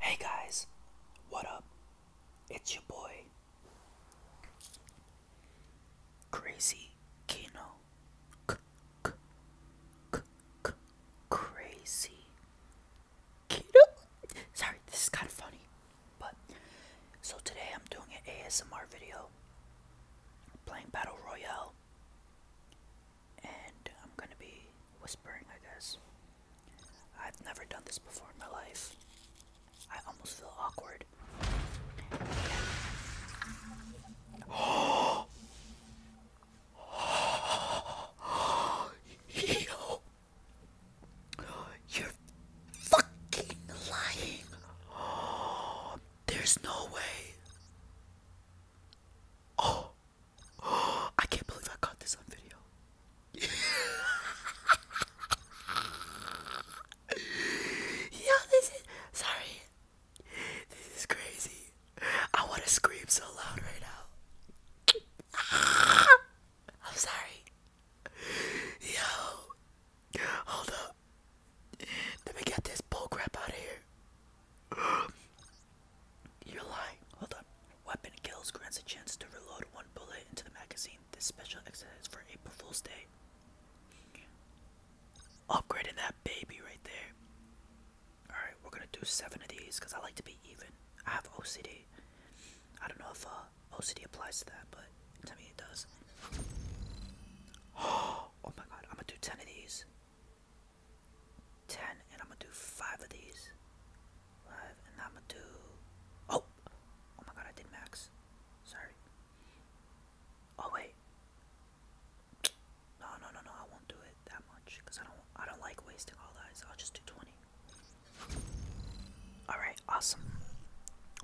Hey guys, what up? It's your boy Crazy Kino. C -c -c -c Crazy Kino. Sorry, this is kind of funny, but so today I'm doing an ASMR video playing Battle Royale, and I'm gonna be whispering, I guess. I've never done this before in my life. I almost feel awkward. You're fucking lying! there's no way! Oh! I can't believe I caught this on video. Yo, this sorry. This is crazy. I want to scream so loud right now. I'm sorry. Yo, hold up. Let me get this bull crap out of here. You're lying. Hold on. Weapon kills grants a chance to reload one bullet into the magazine. This special exercise for April Fool's Day. Upgrading that baby right there. Alright, we're gonna do seven of these because I like to be even. I have OCD. I don't know if uh, OCD applies to that, but to me it does. oh my god, I'm gonna do 10 of these. 10, and I'm gonna do 5 of these live, and I'm going Oh, oh my God, I did max. Sorry. Oh wait. No, no, no, no. I won't do it that much because I don't. I don't like wasting all I'll just do twenty. All right. Awesome.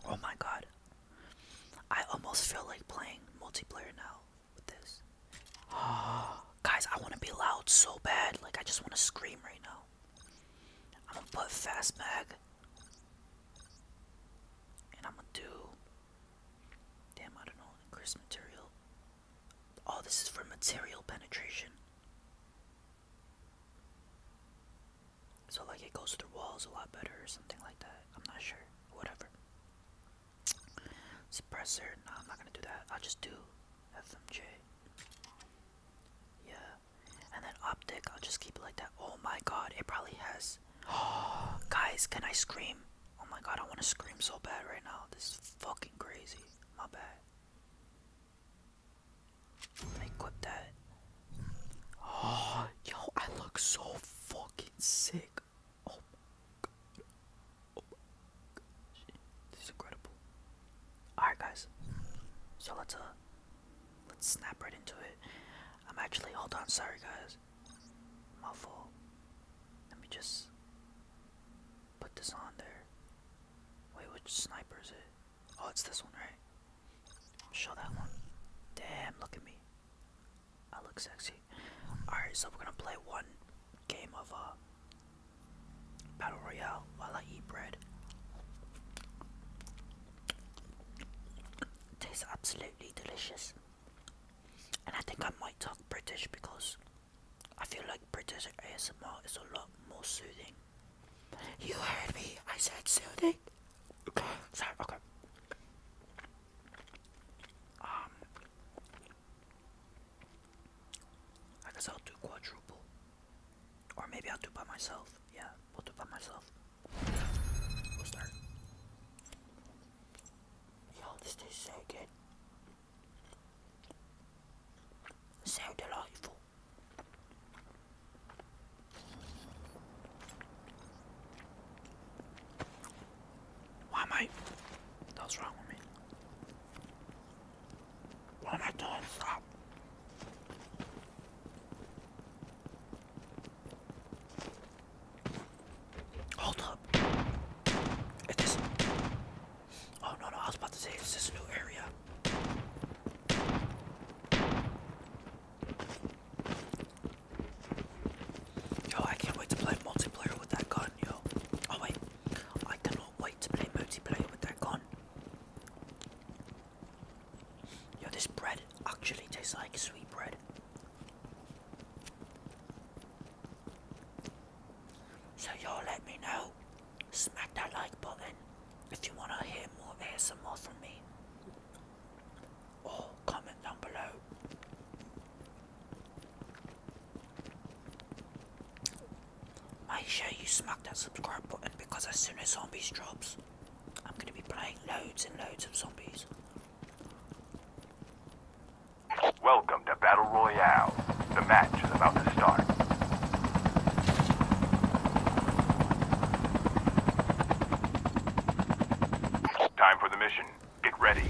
Oh my God. I almost feel like playing multiplayer now with this. Oh, Guys, I want to be loud so bad. Like, I just want to scream right now. I'm going to put fast mag. And I'm going to do... Damn, I don't know. Increase material. Oh, this is for material penetration. So, like, it goes through walls a lot better or something like that. I'm not sure. Whatever. Suppressor. No, I'm not going to do that. I'll just do FMJ. Yeah. And then optic, I'll just keep it like that. Oh my god, it probably has. Oh, guys, can I scream? Oh my god, I want to scream so bad right now. This is fucking crazy. My bad. Let that. Oh, yo, I look so fucking sick. Oh this is incredible. Alright guys, so let's uh, let's snap right into it. I'm actually, hold on, sorry guys, my fault. Let me just put this on there. Wait, which sniper is it? Oh, it's this one, right? Show that one. Damn, look at me. I look sexy. Alright, so we're gonna play one game of uh, Battle Royale while I eat bread. Tastes absolutely delicious. And I think I might talk British because I feel like British ASMR is a lot more soothing. You heard me, I said soothing. Okay, sorry, okay. Um, I guess I'll do quadruple. Or maybe I'll do by myself. Yeah, we'll do by myself. We'll start. Yo, this tastes so good. So delightful. Why, mate? That's wrong with me. What am I doing? Stop. Hold up. Is Oh, no, no, I was about to say, it's this new area. Yo, I can't wait to play multiplayer with that gun, yo. Oh, wait. I can wait to play multiplayer with that gun. Yo, this bread actually tastes like sweet bread. So y'all let me know. Smack that like button if you want to hear more ASMR from me. Or comment down below. Make sure you smack that subscribe button because as soon as zombies drops, I'm going to be playing loads and loads of zombies. Welcome to Battle Royale. The match is about to start. Time for the mission. Get ready.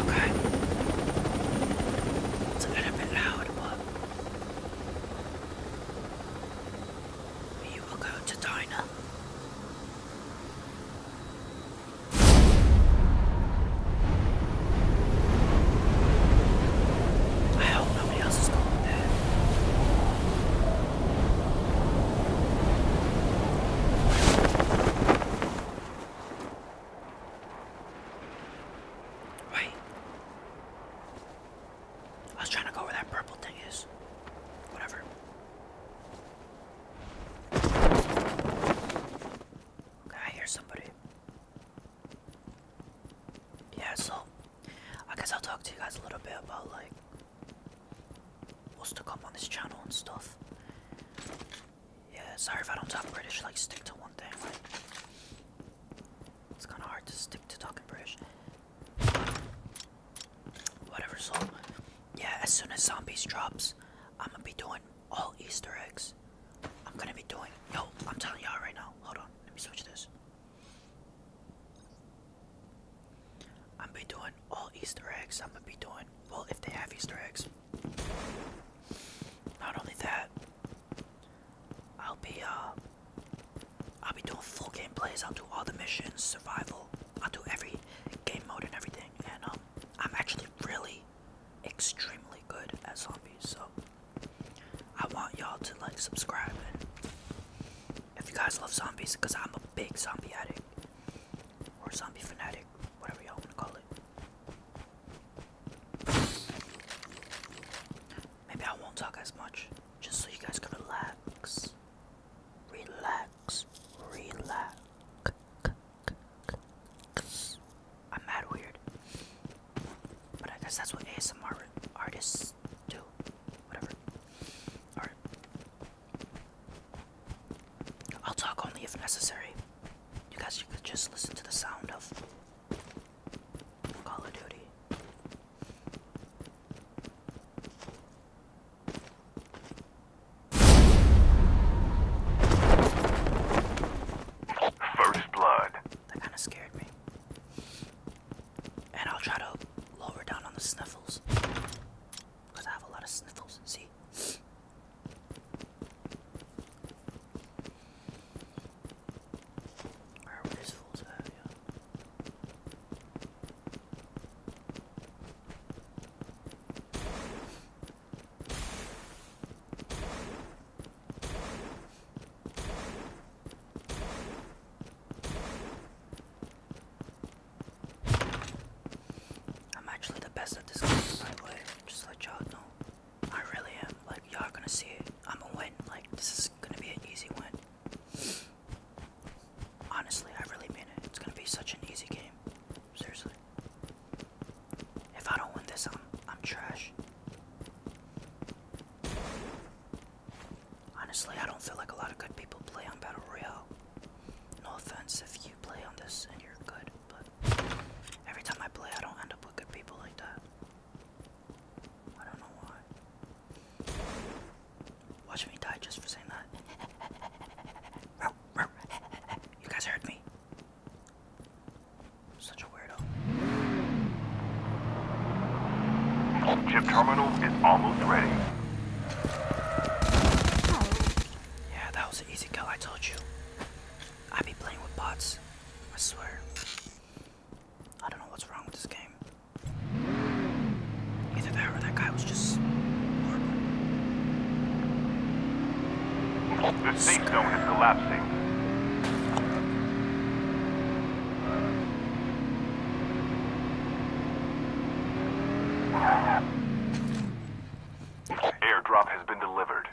Okay. It's a little bit loud, but you will go to diner. I do not. know. Nobody I was trying to go where that purple thing is. Whatever. Okay, I hear somebody. Yeah, so I guess I'll talk to you guys a little bit about like what's to come on this channel and stuff. Yeah, sorry if I don't talk British, like stick to one thing, like it's kinda hard to stick to talking British. Whatever, so yeah, as soon as zombies drops, I'm gonna be doing all Easter eggs. I'm gonna be doing yo, I'm telling y'all right now, hold on, let me switch this. I'm be doing all Easter eggs. I'm gonna be doing well if they have Easter eggs. Not only that, I'll be uh, I'll be doing full gameplays. I'll do all the missions, survival. I'll do every game mode and everything. And um, I'm actually really extremely good at zombies. So I want y'all to like subscribe if you guys love zombies because I'm a big zombie addict or zombie fanatic, whatever y'all want to call it. Maybe I won't talk as much just so you guys can relax. Relax, relax. I'm mad weird, but I guess that's what ASMR artists do whatever. All right. I'll talk only if necessary. You guys, you could just listen to the sound of Call of Duty. First blood. That kind of scared me. And I'll try to lower down on the sniffles. Because I have a lot of sniffles. See? Alright, where these fools I'm actually the best at this game, by the way. Just let y'all know. I really am. Like, y'all gonna see it. I'm a win. Like, this is gonna be an easy win. Honestly, I really mean it. It's gonna be such an easy game. Seriously. If I don't win this, I'm trash. Honestly, I don't feel like a lot of good people play on Battle Royale. No offense if you play on this and you're good, but every time I play, I don't end up with good people like that. I don't know why. Watch me die just for saying that. You guys heard me. such a weirdo. Ship terminal is almost ready. Yeah, that was an easy kill, I told you. I be playing with bots, I swear. I don't know what's wrong with this game. Either that or that guy was just The safe zone is collapsing. Airdrop has been delivered.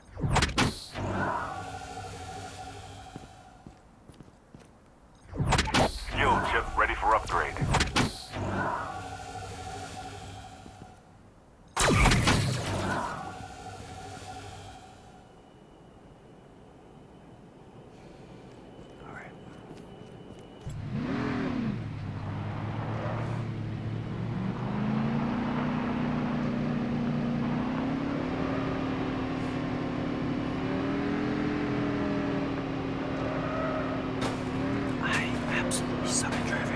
Fuel chip ready for upgrade. All right. I absolutely suck at driving.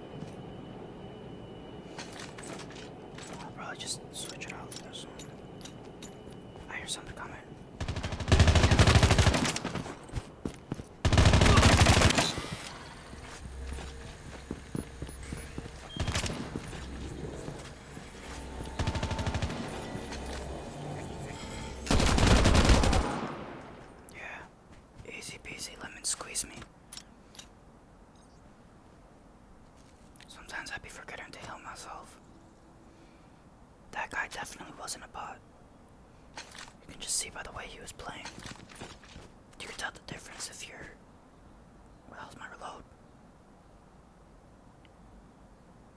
I'll probably just switch it out with this one. I hear something coming. Yeah. Easy peasy lemon squeeze me. Sometimes I would be forgetting to heal myself. That guy definitely wasn't a bot. You can just see by the way he was playing. You can tell the difference if you're. Where the my reload?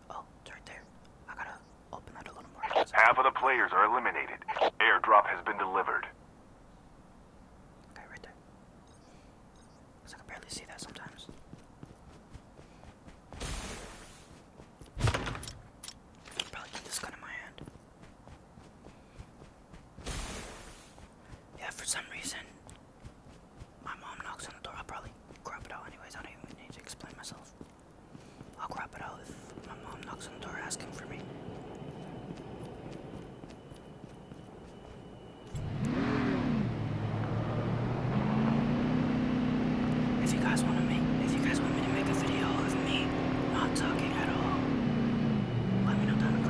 Oh, it's right there. I gotta open that a little more. Half of the players are eliminated. Airdrop has been delivered. Okay, right there. Cause I can barely see that sometimes. probably keep this gun in my hand. Yeah, for some reason, my mom knocks on the door. i probably grab it out anyways. I don't even need to explain myself. I'll grab it out my mom knocks on the door asking for me. If you guys want to if you guys want me to make a video of me not talking at all, let me know down in the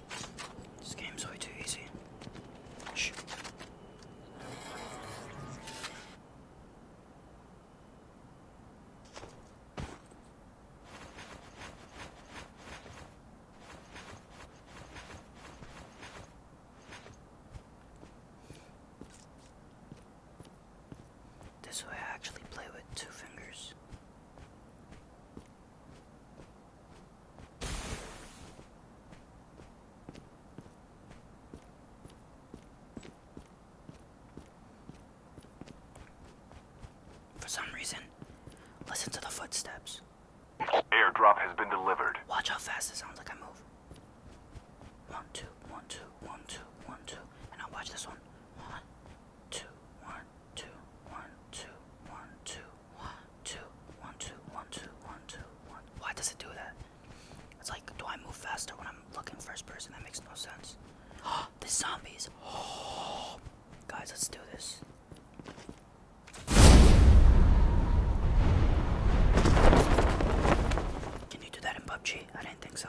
This game's way too easy. Shh. This way I actually play with two fingers. For some reason, listen to the footsteps. Airdrop has been delivered. Watch how fast it sounds like I move. One, two, one, two, one, two, one, two. And now watch this one. One, two, one, two, one, two, one, two. One, two, one, two, one, two, one, two, one. Why does it do that? It's like, do I move faster when I'm looking first person? That makes no sense. Oh, the zombies. Oh, guys, let's do this. Can you do that in PUBG? I didn't think so.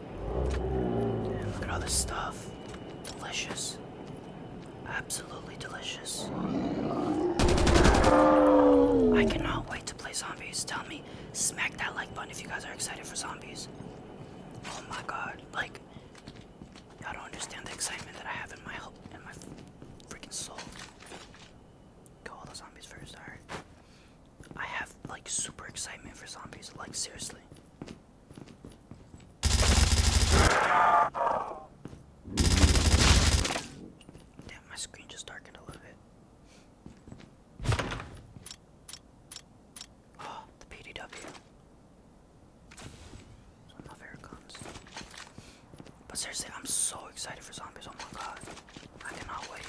look at all this stuff. Delicious. Absolutely delicious. I cannot wait to play zombies. Tell me, smack that like button if you guys are excited for zombies. Oh my god, like, y'all don't understand the excitement that I have in my in my freaking soul. Go all the zombies first, Sorry. I have like super excitement for zombies, like seriously. Damn, my screen just darkened a little bit. Oh, the PDW. Some of guns. But seriously, I'm so excited for zombies. Oh my god. I cannot wait.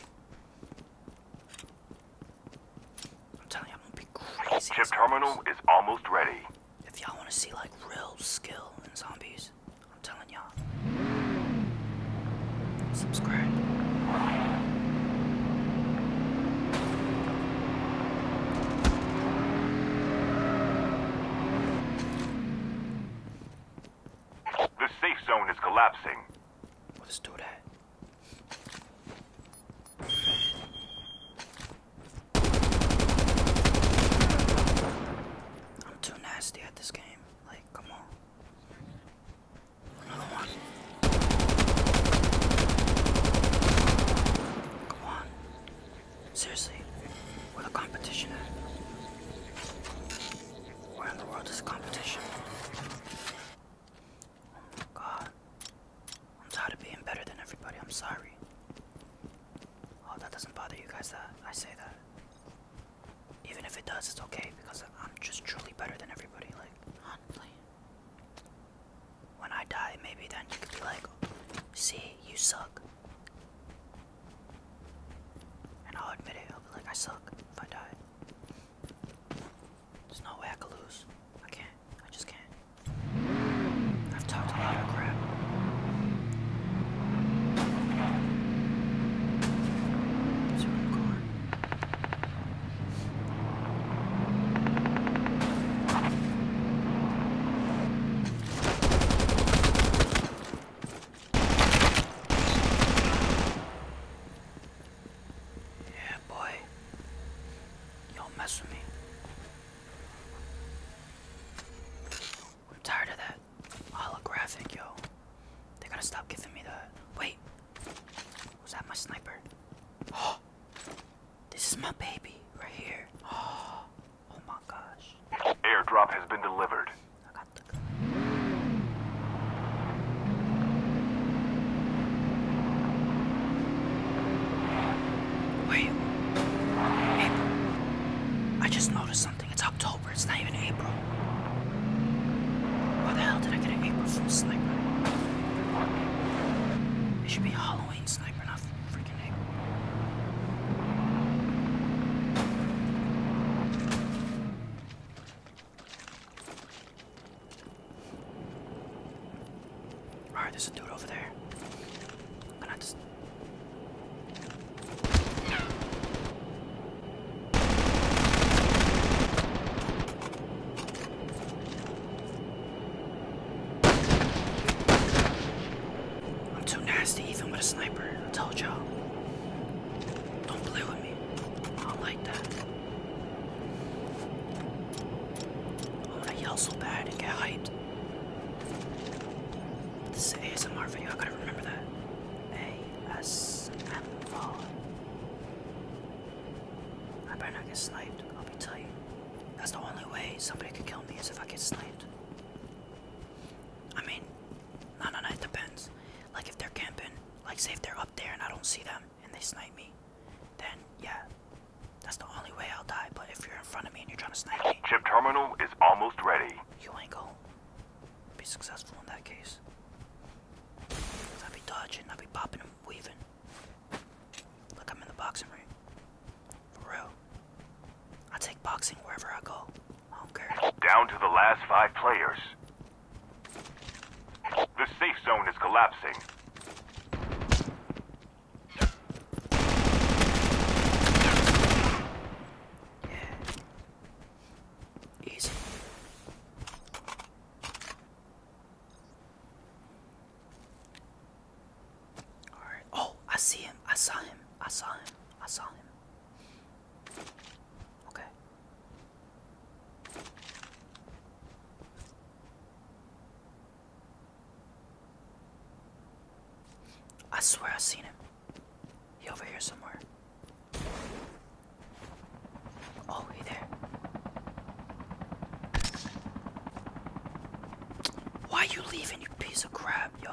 Chip terminal is almost ready. If y'all wanna see like real skill in zombies, I'm telling y'all. Subscribe. The safe zone is collapsing. What is do that? I'm too nasty at this game. Like, come on. Another one. Come on. Seriously, where the competition at? Where in the world is competition? Oh my god. I'm tired of being better than everybody. I'm sorry. Oh, that doesn't bother you guys that I say that. Even if it does, it's okay because I'm just truly better than everybody. Like, honestly. When I die, maybe then you could be like, see, you suck. And I'll admit it. I'll be like, I suck if I die. There's no way I can lose. I can't. I just can't. I've talked a lot of crap. Is recording? Yeah, boy. don't mess with me. I'm tired of that holographic, yo. They're gonna stop giving me the. Wait! Was that my sniper? Oh! This is my baby, right here. Oh, my gosh. Airdrop has been delivered. Wait. April. I just noticed something. It's October. It's not even April. Why the hell did I get an April from Sniper? It should be Halloween Sniper, not freaking April. Alright, there's a dude over there. I'm just. I'm too nasty even with a sniper. I told y'all. Don't play with me. I don't like that. I wanna yell so bad and get hyped. This is an ASMR video, I gotta remember that. ASMR. I better not get sniped, I'll be tight. That's the only way somebody could kill me is if I get sniped. I mean, no, no, no, it depends. Like if they're camping, like say if they're up there and I don't see them and they snipe me, then yeah, that's the only way I'll die. But if you're in front of me and you're trying to snipe me, chip terminal is almost ready. You ain't going be successful in that case. i be dodging, i be popping and weaving. Look, I'm in the boxing ring. For real. I take boxing wherever I go. I Down to the last five players. The safe zone is collapsing. Oh, I saw him. I saw him. I saw him. Okay. I swear i seen him. He over here somewhere. Oh, he there. Why you leaving, you piece of crap, yo?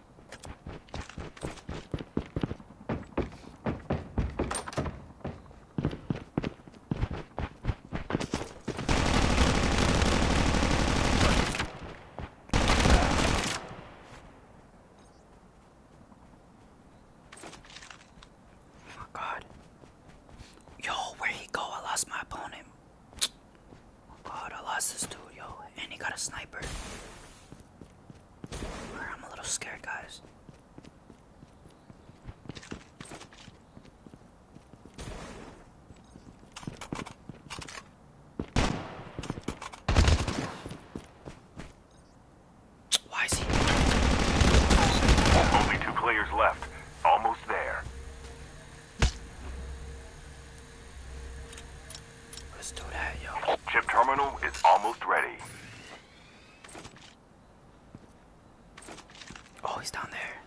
Oh god. Yo, where he go? I lost my opponent. Oh god, I lost this dude, yo. And he got a sniper. I'm a little scared, guys. Why he? Only two players left. Almost there. Let's do that, yo. Chip terminal is almost ready. Oh, he's down there.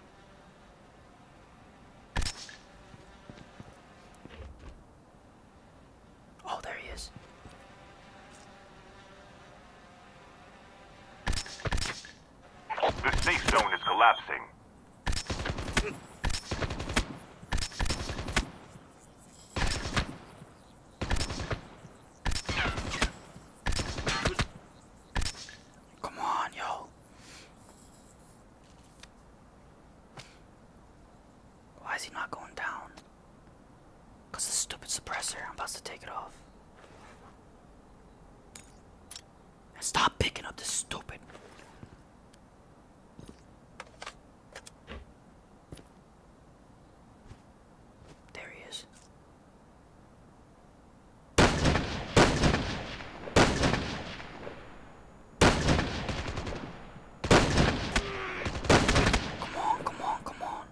Oh, there he is. The safe zone is collapsing. Come on, yo. Why is he not going down? Because the stupid suppressor. I'm about to take it off. stop picking up this stupid. There he is. Come on, come on, come on.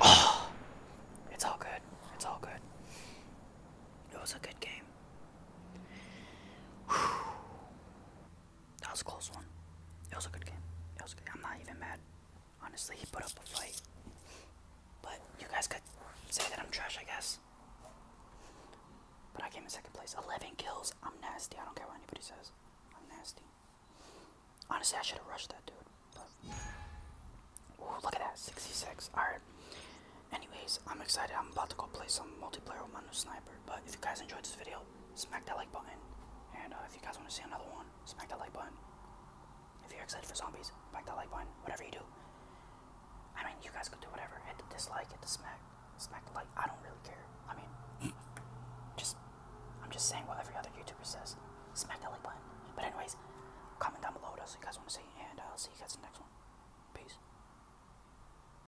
Oh, it's all good. It's all good. It was a good game. Whew. That was a close one. It was a good game. It was good. I'm not even mad. Honestly, he put up a fight. But you guys could say that I'm trash, I guess. But I came in second place. 11 kills. I'm nasty. I don't care what anybody says. I'm nasty. Honestly, I should have rushed that dude. Ooh, look at that. 66. Alright. Anyways, I'm excited. I'm about to go play some multiplayer with my new sniper. But if you guys enjoyed this video, smack that like button. And uh, if you guys want to see another one, smack that like button. If you're excited for zombies, smack that like button. Whatever you do. I mean, you guys could do whatever. Hit the dislike, hit the smack, smack the like. I don't really care. I mean, just, I'm just saying what every other YouTuber says. Smack that like button. But anyways, comment down below what you guys want to see. And uh, I'll see you guys in the next one. Peace.